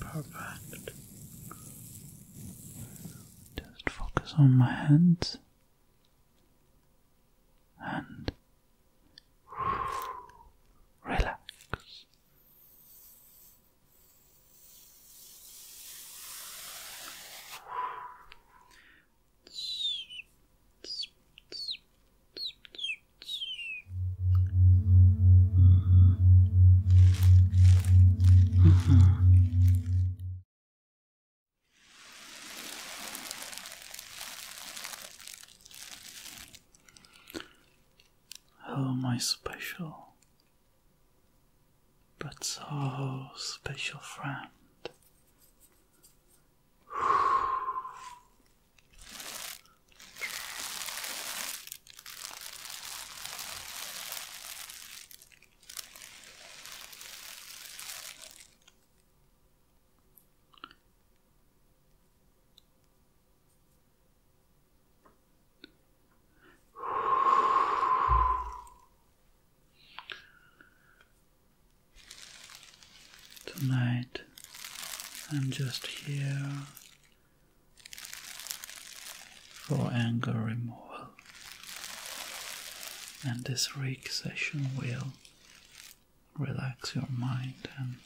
Perfect. Just focus on my hands and relax. Oh my special? but oh, special friend. Tonight I'm just here for anger removal, and this relaxation will relax your mind and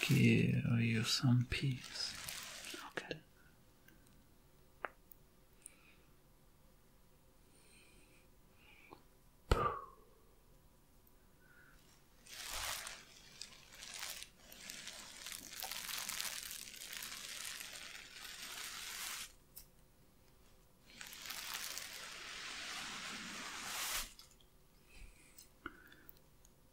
give you some peace. Okay.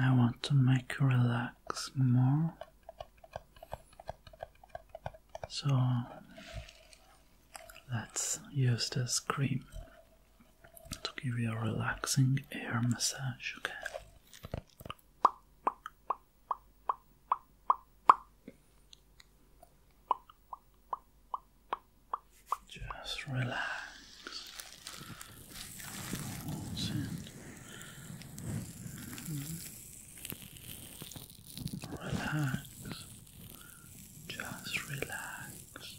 I want to make you relax more. So let's use this cream to give you a relaxing air massage, okay? Just relax. Relax. Just relax.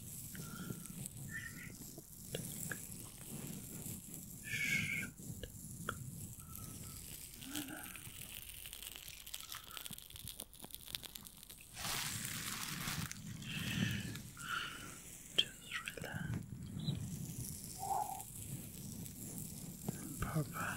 Just relax. Perfect.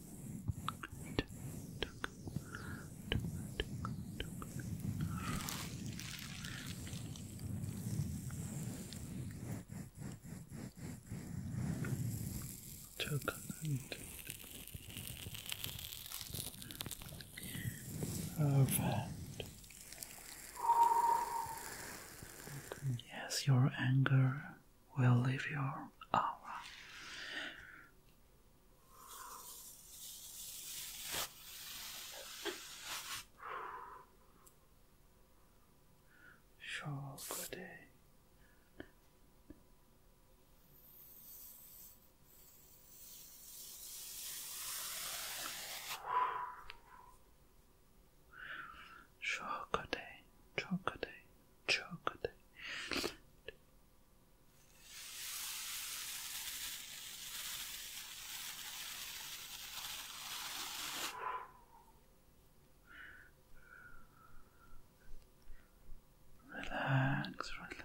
Chocolate Perfect. Yes, your anger will leave your aura. Sure, good day. Chocolate, chocolate, chocolate. Relax, relax.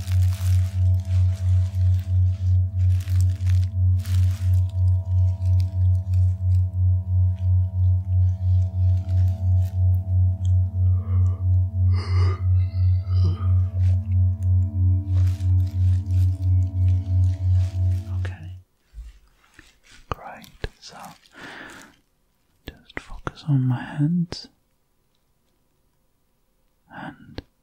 Okay. Great. So just focus on my hands and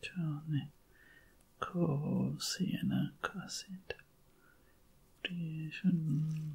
Johnny Cole Sienna Cassett Creation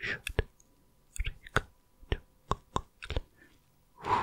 should recall to Google.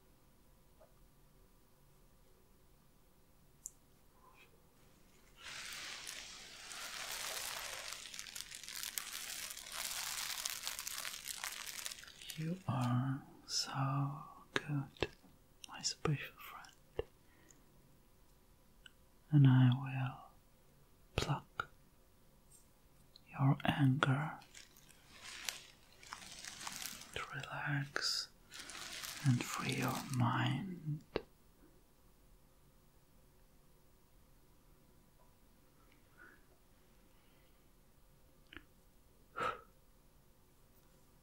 You are so good, my special friend, and I will pluck your anger to relax and free your mind.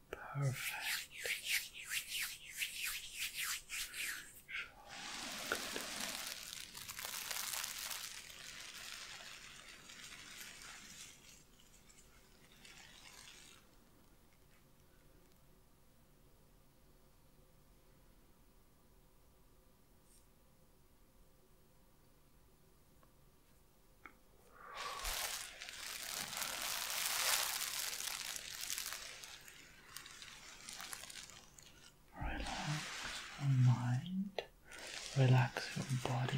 Perfect. good. Relax your mind, relax your body,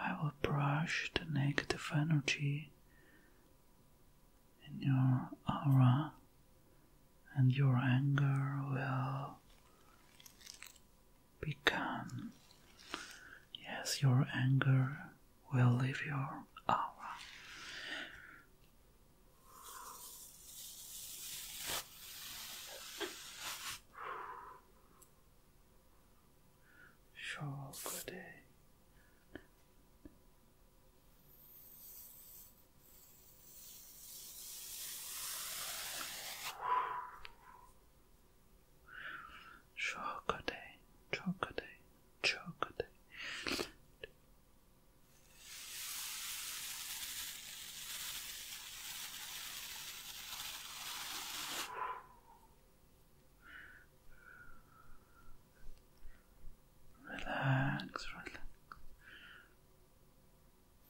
I will brush the negative energy in your aura and your anger will Become. Yes, your anger will leave your aura. Sure, good day. Chocolate, chocolate, chocolate. Relax, relax.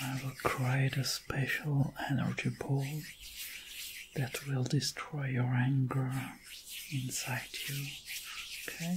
I will cry this special energy ball that will destroy your anger inside you. Okay?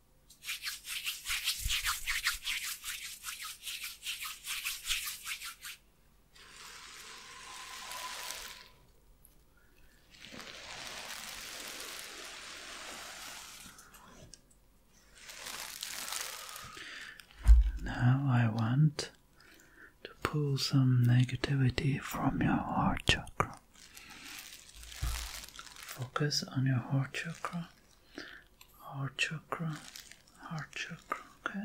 Now I want to pull some negativity from your heart chakra. Focus on your heart chakra heart chakra, heart chakra, okay.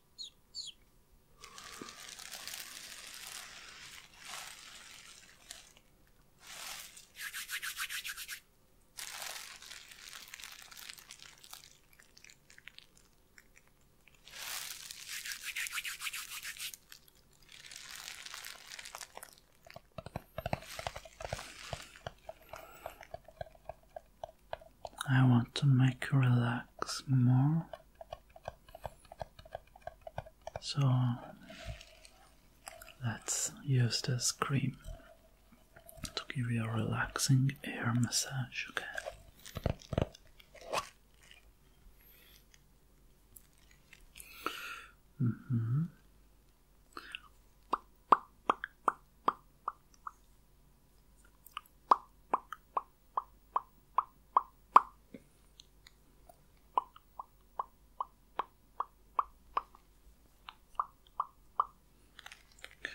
I want to make you relax more so let's use this cream to give you a relaxing air massage, okay? Mm-hmm.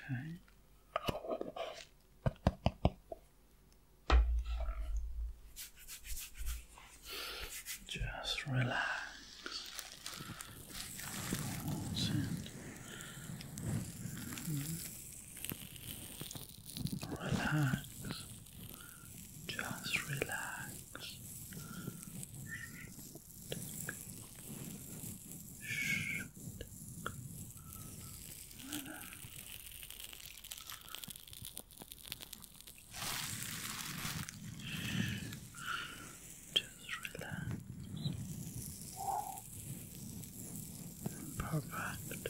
Okay. Just relax. Relax. Just relax. Just relax. Perfect.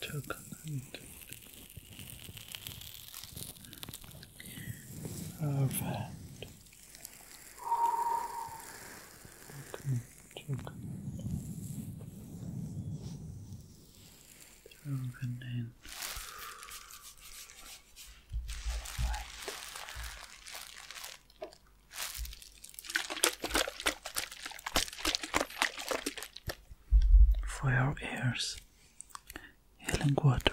Chocolate. For your ears healing water.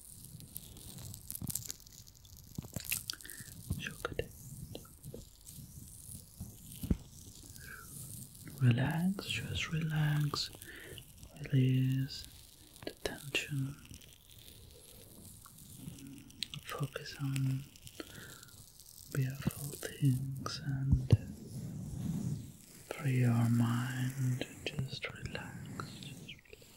Sugar Relax, just relax, release the tension, focus on beautiful things and free your mind, just relax, just relax.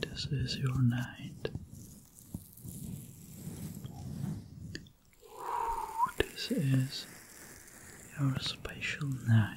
This is your night. This is your special night.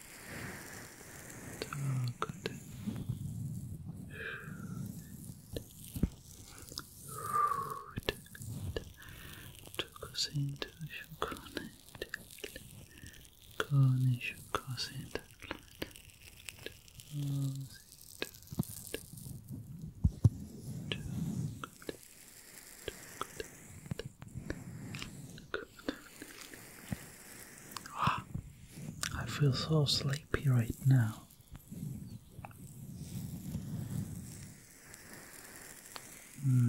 good. Çok şu konekte. Kone şu kosinde. Good. Good. I feel so sleepy right now. Hmm.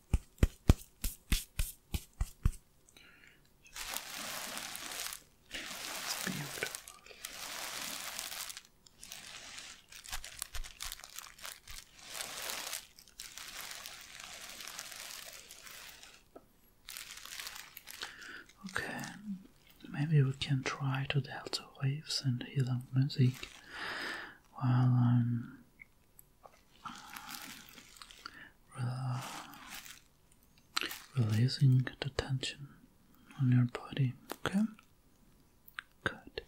It's beautiful. Okay, maybe we can try to delta waves and hidden music while I'm releasing the tension on your body, okay? Good.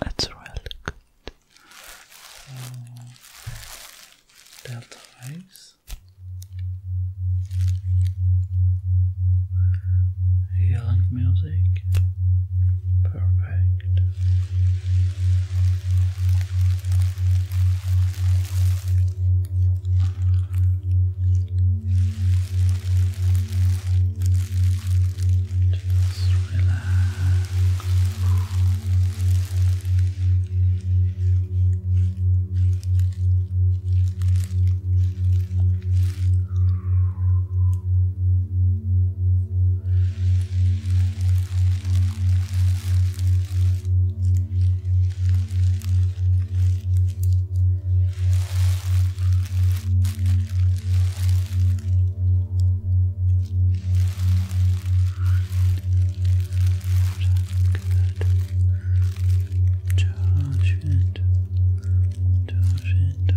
That's really good. delta eyes. Healing music. Perfect. Just relax. Josh and Josh and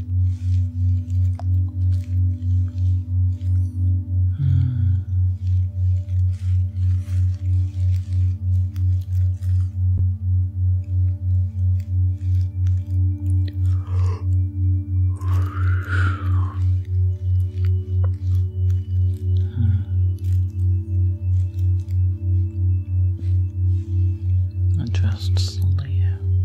I just sleep.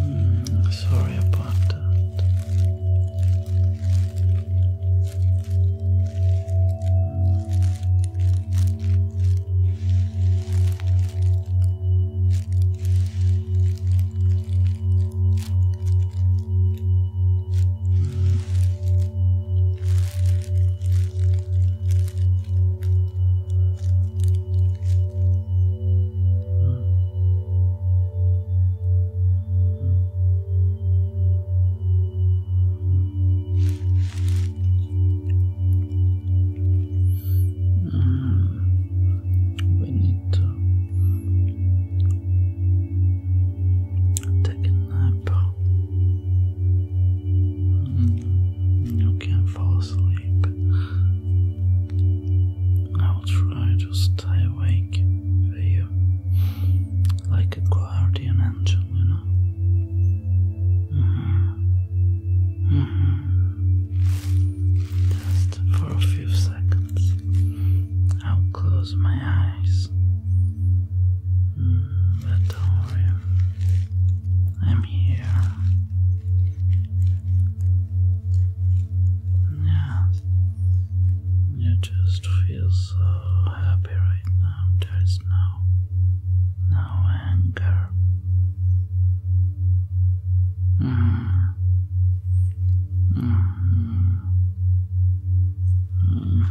Mm, sorry about that. Take a nap. You can fall asleep. I'll try to stay awake for you, like a guardian angel, you know. Mm-hmm. Mm-hmm. Just for a few seconds, I'll close my eyes. Mm, but don't worry. I'm here. Yeah. You just feel so happy right now. There's no no anger. Mm. Mm. Mm.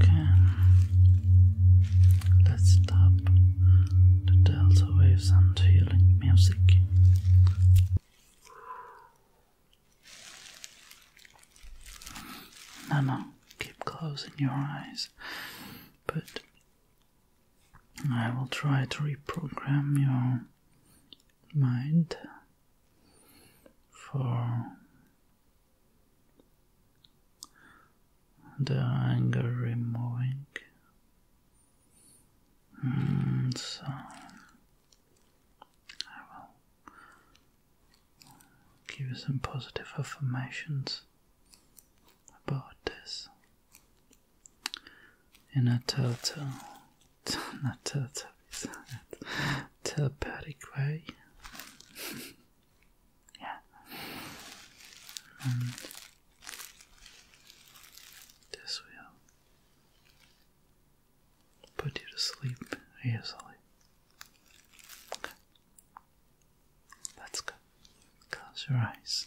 Okay, let's stop the delta waves and healing music. No, no, keep closing your eyes. But I will try to reprogram your mind for the anger removing. Mm, so I will Give you some positive affirmations about this. In a total, not total, telepathic way. yeah. And this will put you to sleep easily. Okay. let Close your eyes.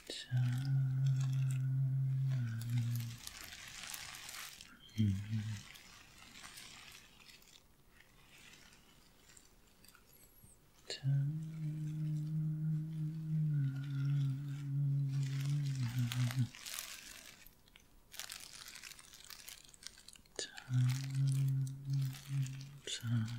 Mm -hmm. Time. Time.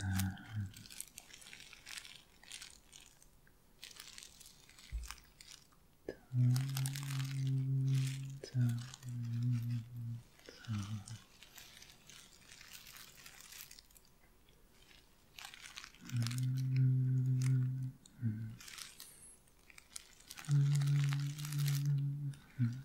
Um, Dun, dun, dun. Mm -hmm. -hmm.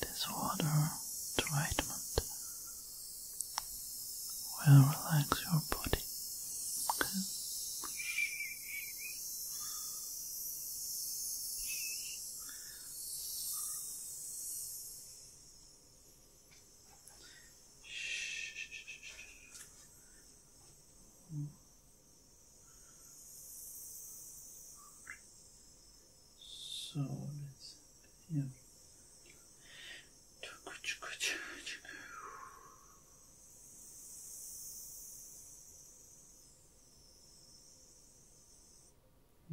This water treatment will relax your body. Okay. So let's yeah.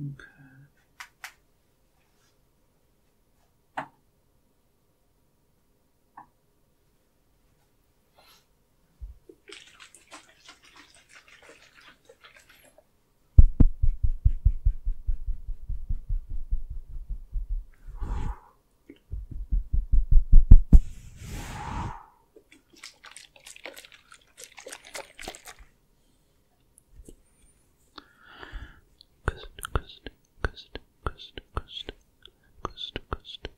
Okay. Cust, cust, cust, cust, cust, cust, cust,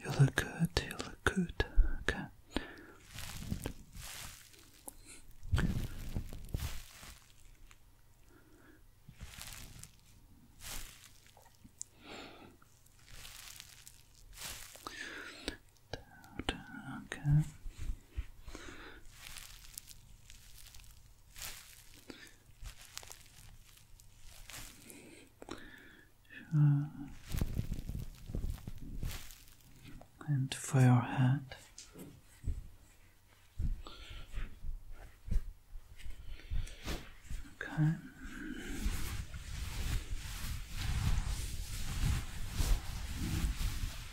You look good, you look good, okay. Okay and for your head. Okay.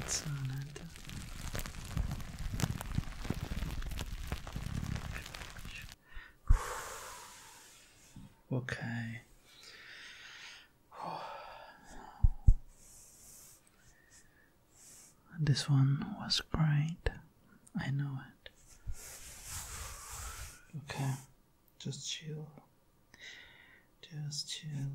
It's on it. Shoulder. Okay. This one was great. I know it. Okay. Just chill. Just chill.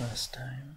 last time.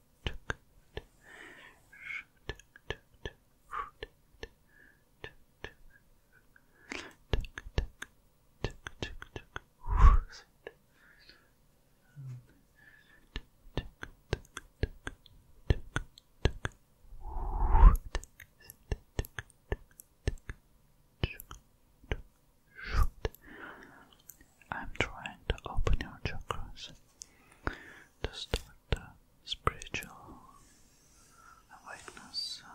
I'm trying to open your chakras. To start the spiritual awakeness. Uh,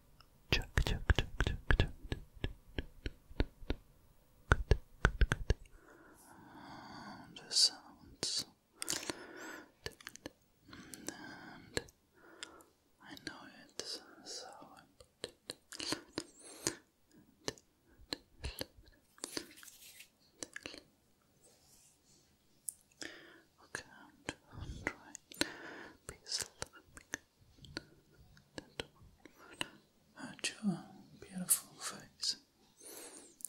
Chuck, chuck, chuck, chuck, chuck. Good, the sounds. And I know it, so I I'll count beautiful face.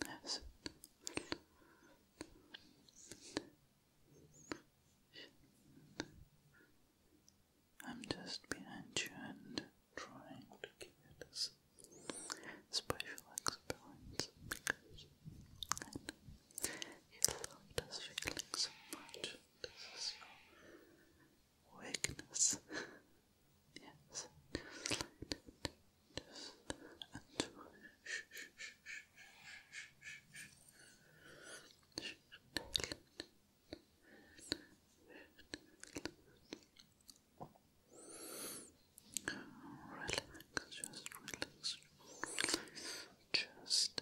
Yes. I'm just behind you and trying to give you this special experience because you love this feeling so much. This is your weakness. yes. And Relax, just relax, just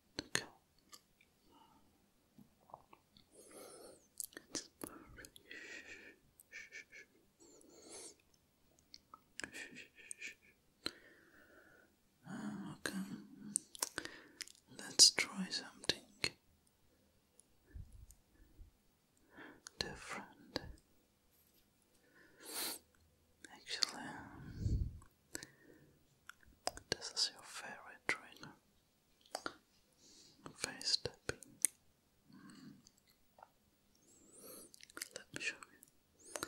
D'accord. okay. Let's try something different. Actually, this is your favorite trainer. Face tapping. Mm. Let me show you.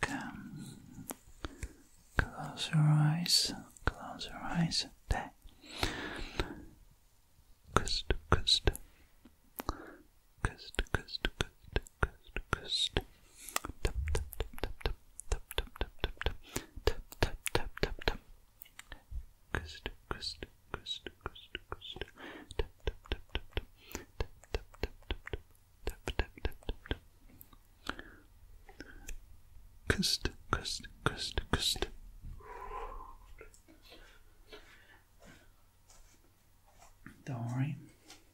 Come, close your eyes, close your eyes. There. Kust, kust, kust, kust, kust, kust, kust tap tap tap tap tap tap tap tap tap tap tap tap tap Crystal, crystal, crystal, crystal, crystal. Tap tap tap tap tap tap tap tap tap tap tap tap tap. Crystal, crystal, crystal, crystal. Don't worry,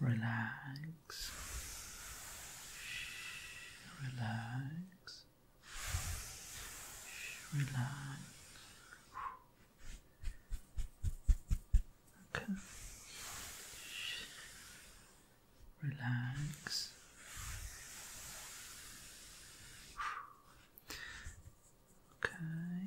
Relax. Relax. Relax. Okay. Relax. Okay.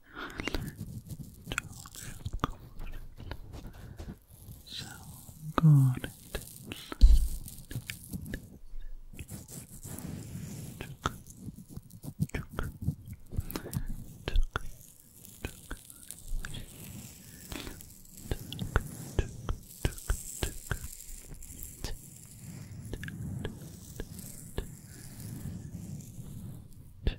So good. Took, took, took, took. Tick,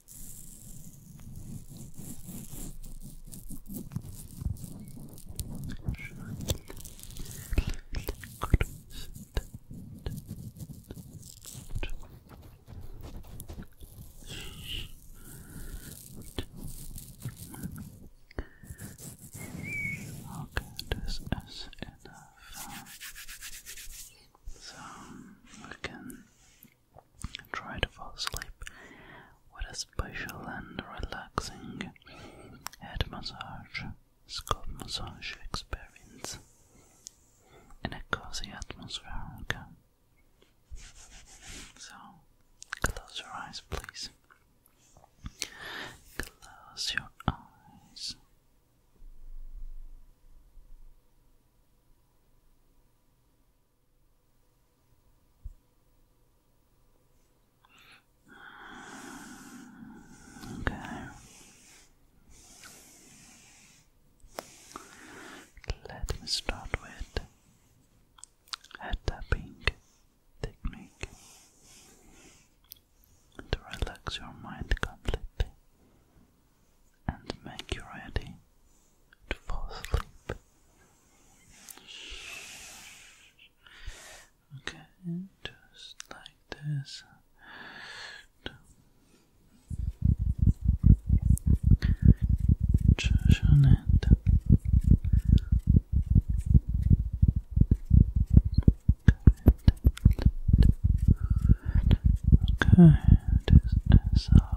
Okay, this is enough. So we can Try to fall asleep with a special and relaxing head massage, scalp massage experience and a cozy atmosphere. So, close your eyes, please. Close your eyes. Okay. Let me start with a tapping technique to relax your mind completely and make you ready to fall asleep. Okay, just like this. Just on it. Okay, this is all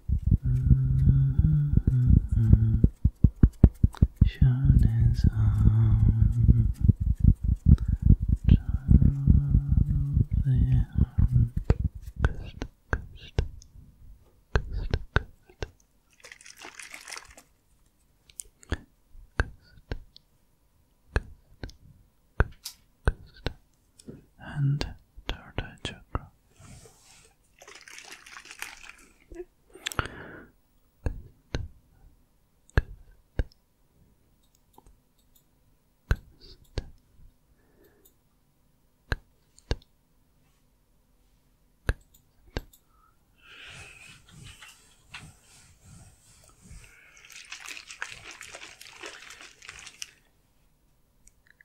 Mm -hmm. on, totally on. Coast, coast, coast, coast. Coast, coast, coast, coast. And third eye chakra.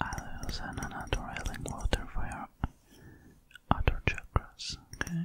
Others and another railing water for your other chakras, okay?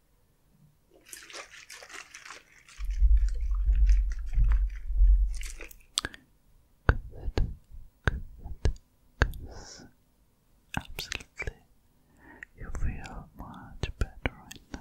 Good, absolutely you feel much better right now.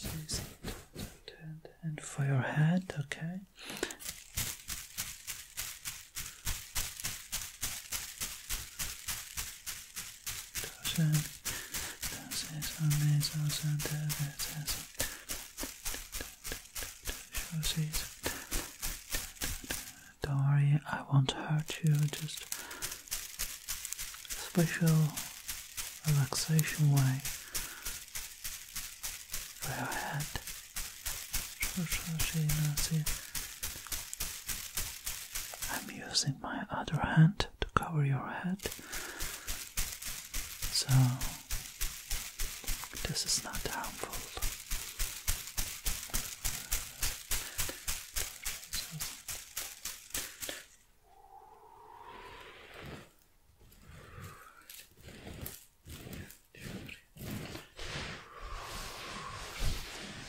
Since for your head, okay. Don't worry, I won't hurt you, just special relaxation way for your head. I'm using my other hand to cover your head. So, this is not harmful.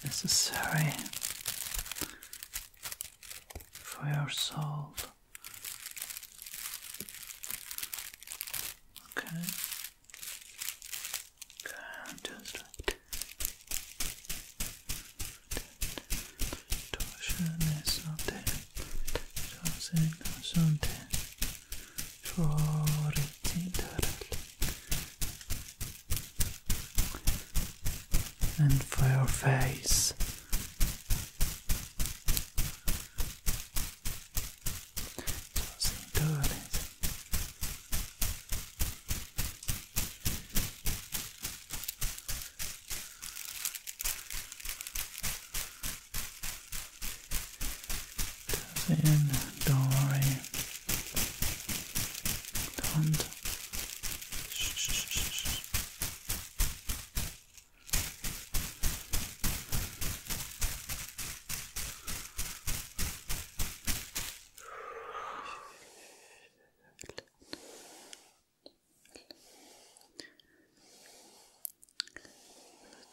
This is necessary for your soul. Okay. Okay, just torsion is something, something, something for it And for your face, cinturas. In, don't worry. Don't.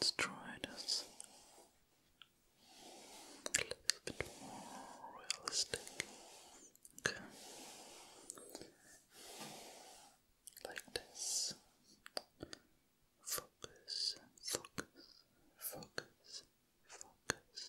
Let's try this a little bit more realistic. Okay. Like this focus, focus, focus, focus.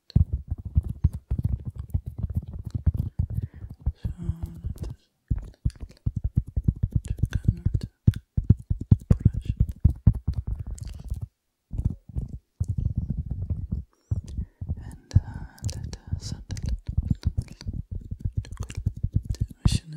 So that is to cannot brush and let us add a little bit to machine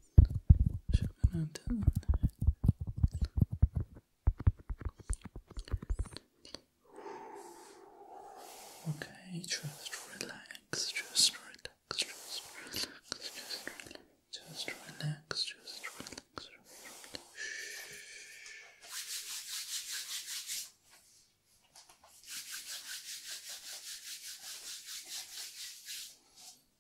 Okay, just relax, just relax, just relax, just relax, just relax, just relax. Just relax. Shh.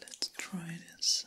Let's try this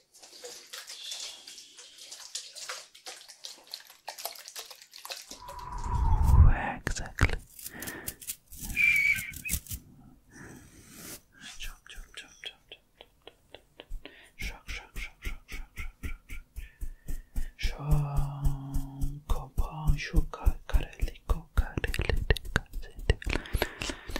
exactly? Jump, jump, jump, jump, jump, Shock, shock, shock, shock, shock, shock, shock, shock, shock, shock, shock,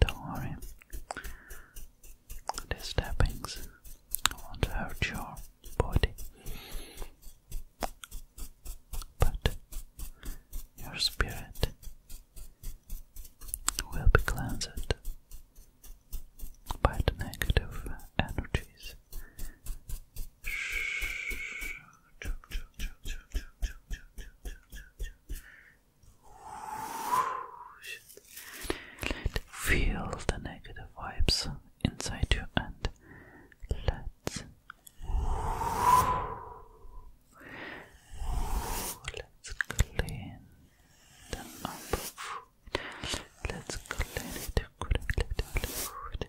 Don't worry. These tappings won't hurt your body, but your spirit will be cleansed by the negative energies. Feel the negative vibes inside you and let's let's clean them up. Let's clean it. Let's clean it.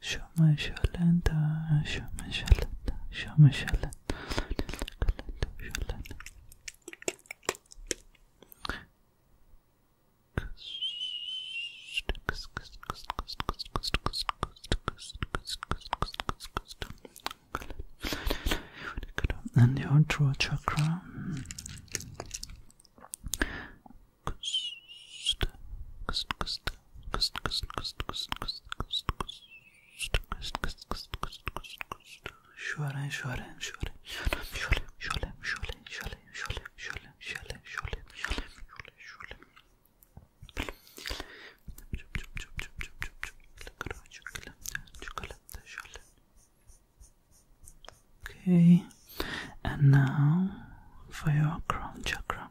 شو ما شاء الله انت شو ما شاء الله انت شو ما شاء الله انت and your throat chakra Kust, kust, kust, Şöyle, şöyle, şöyle, şöyle, şöyle, şöyle, şöyle, şöyle, şöyle, şöyle, şöyle, şöyle, şöyle, şöyle, Okay, and now for your crown chakra.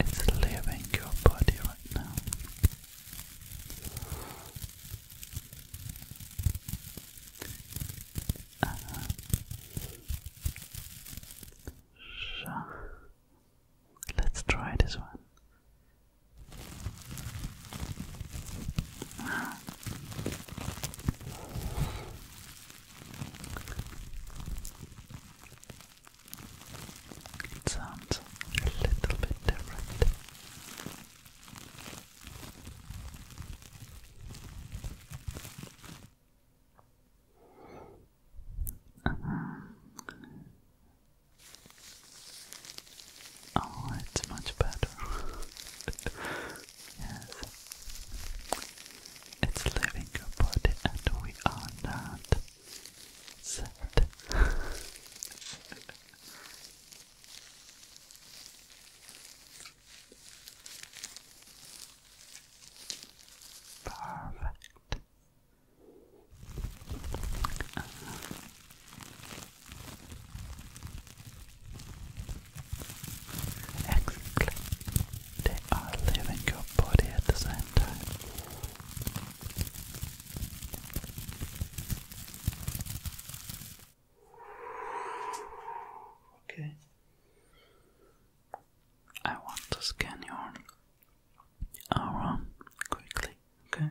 Absolutely. It's leaving your body right now. Uh, let's try this one. Wow. It sounds a little bit different. Uh-huh. Oh, it's much better. yes. It's leaving your body and we are not sad. Perfect. Uh-huh. Exactly. They are leaving your body at the same time. Okay. I want to scan your aura quickly, okay?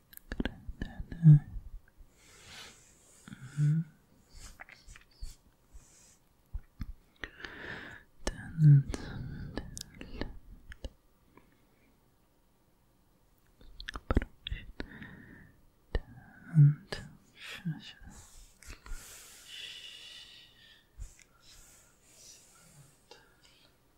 Mm -hmm. Shh.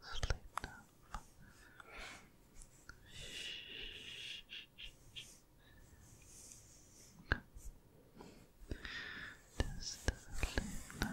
Sleep now. Just sleep now. Sleep now. Sleep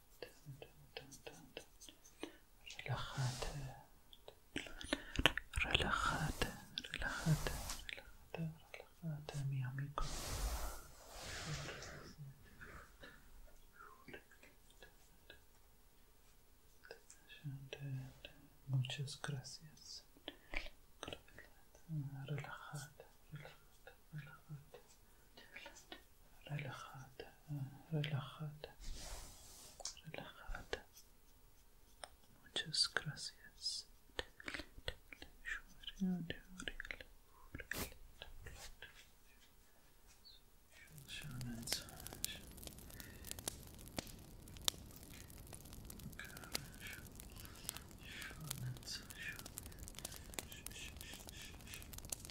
Relájate, relajate, relajate, relajate relajada mi amigo. Muchas gracias. relajate relajate relájate, relajada, relajada, relajada. Muchas gracias.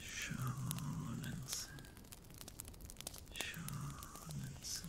Sean's, Sean's, Sean's.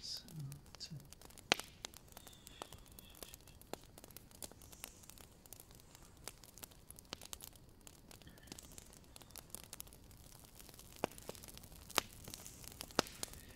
So, that's it.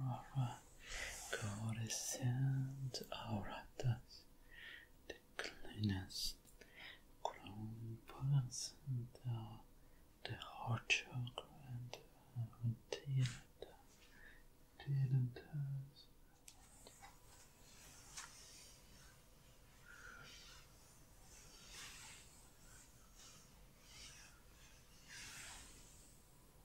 Alright, Coruscant, alright, that's the cleanest compass and the heart chakra and uh, didn't, did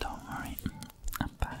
Don't worry, I'm back.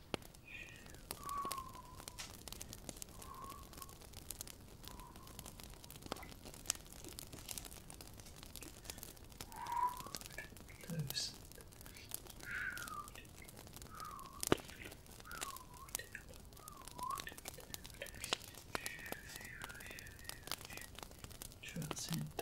Loose. Transcendent. Transcendent. Transcendent.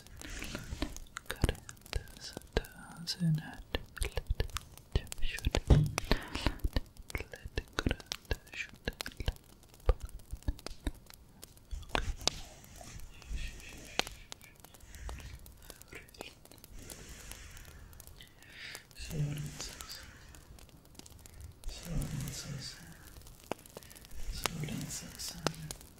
currents does not let them shoot. Let current shoot. Okay. Silences. Silences. Silences.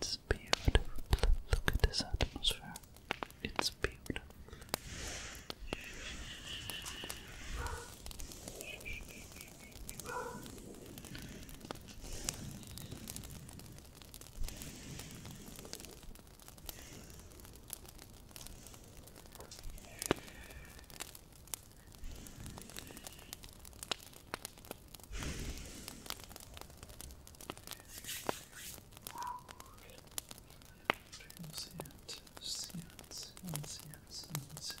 It's beautiful. Look at this atmosphere. It's beautiful. Let's see it. Let's see it. Let's see it. Let's see it.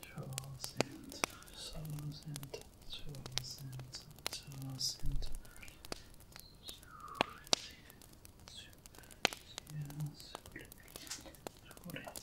Draws and draws and draws and draws and yes. yes. Yes.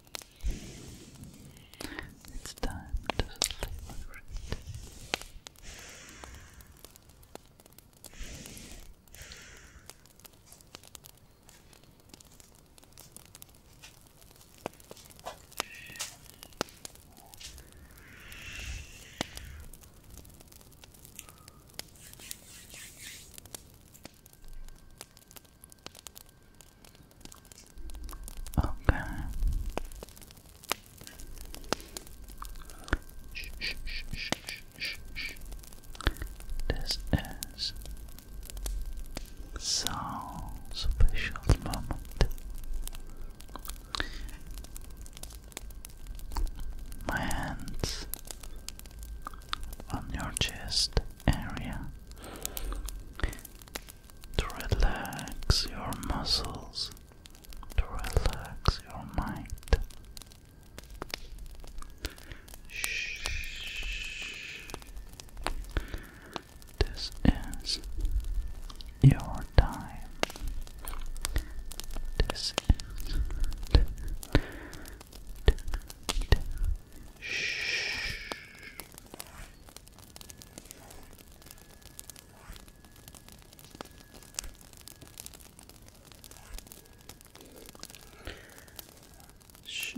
It's time to sleep. Okay. Shh, shh, shh, shh, shh, This is so special moment. My hands on your chest area to relax your muscles, to relax your mind. Shh. This is your time. This is. Shh. Shh,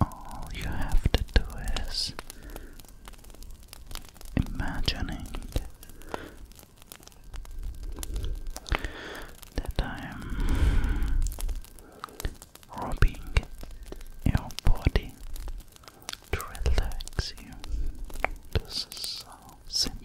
All you have to do is imagining that I'm rubbing your body to relax you. This is so simple.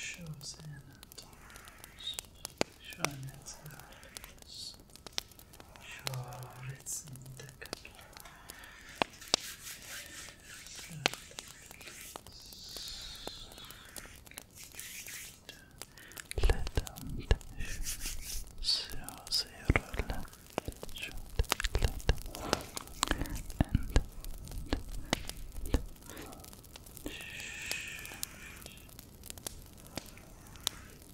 Shows in Shine its eyes. Sure, it's in the cup. Lättande så säger du And Shh.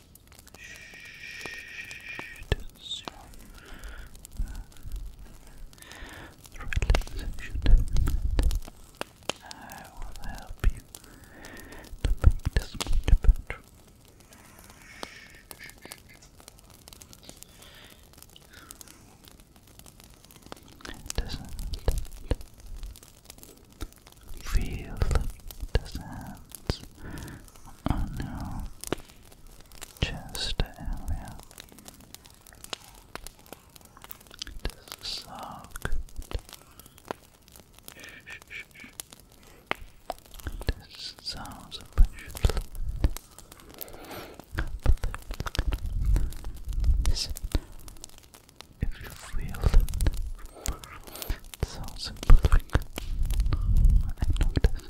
Relaxation. I will help you to make this much better. doesn't feel the sands on your just area. It is This sounds appreciative. Listen, if you feel sounds imperfect. I know it is.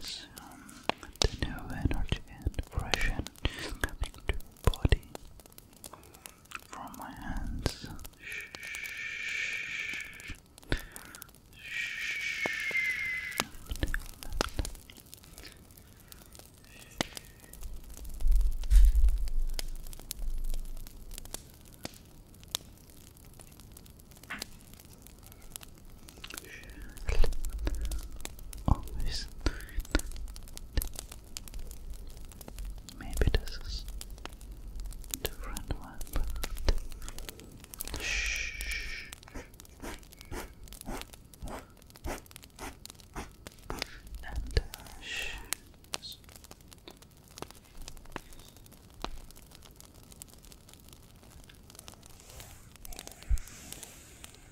some um, the new energy and fresh and body from my hands always night. Maybe this is different one, Shh. Uh,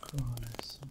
Coalescent.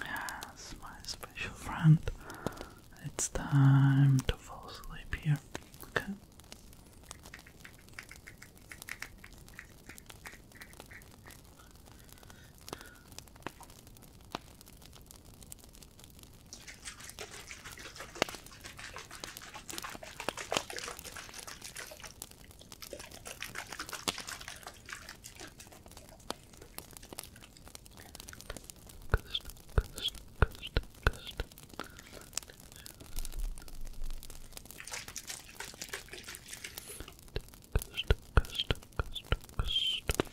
Yes, my special friend. It's time to fall asleep here. Okay. Coast, coast, coast, coast. Coast, coast, coast, coast.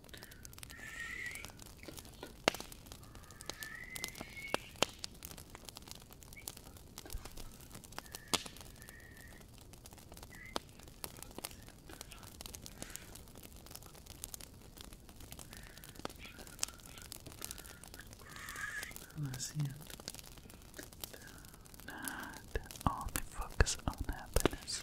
Let's see it. Not only focus on happiness.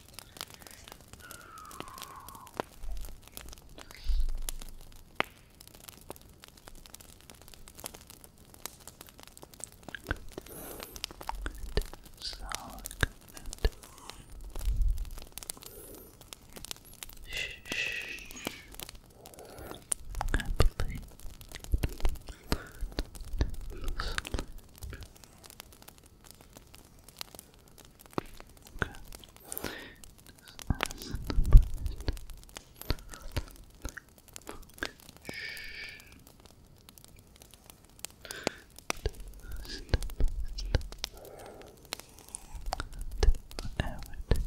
Happily, Okay. This is the Everything.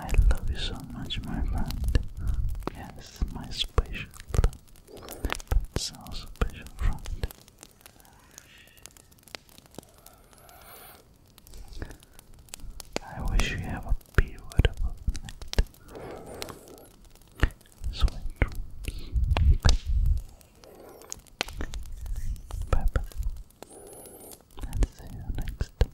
I love you so much, my friend. Yes, my special friend. But so special friend. I wish you have a beautiful night sweet Bye bye. And see you next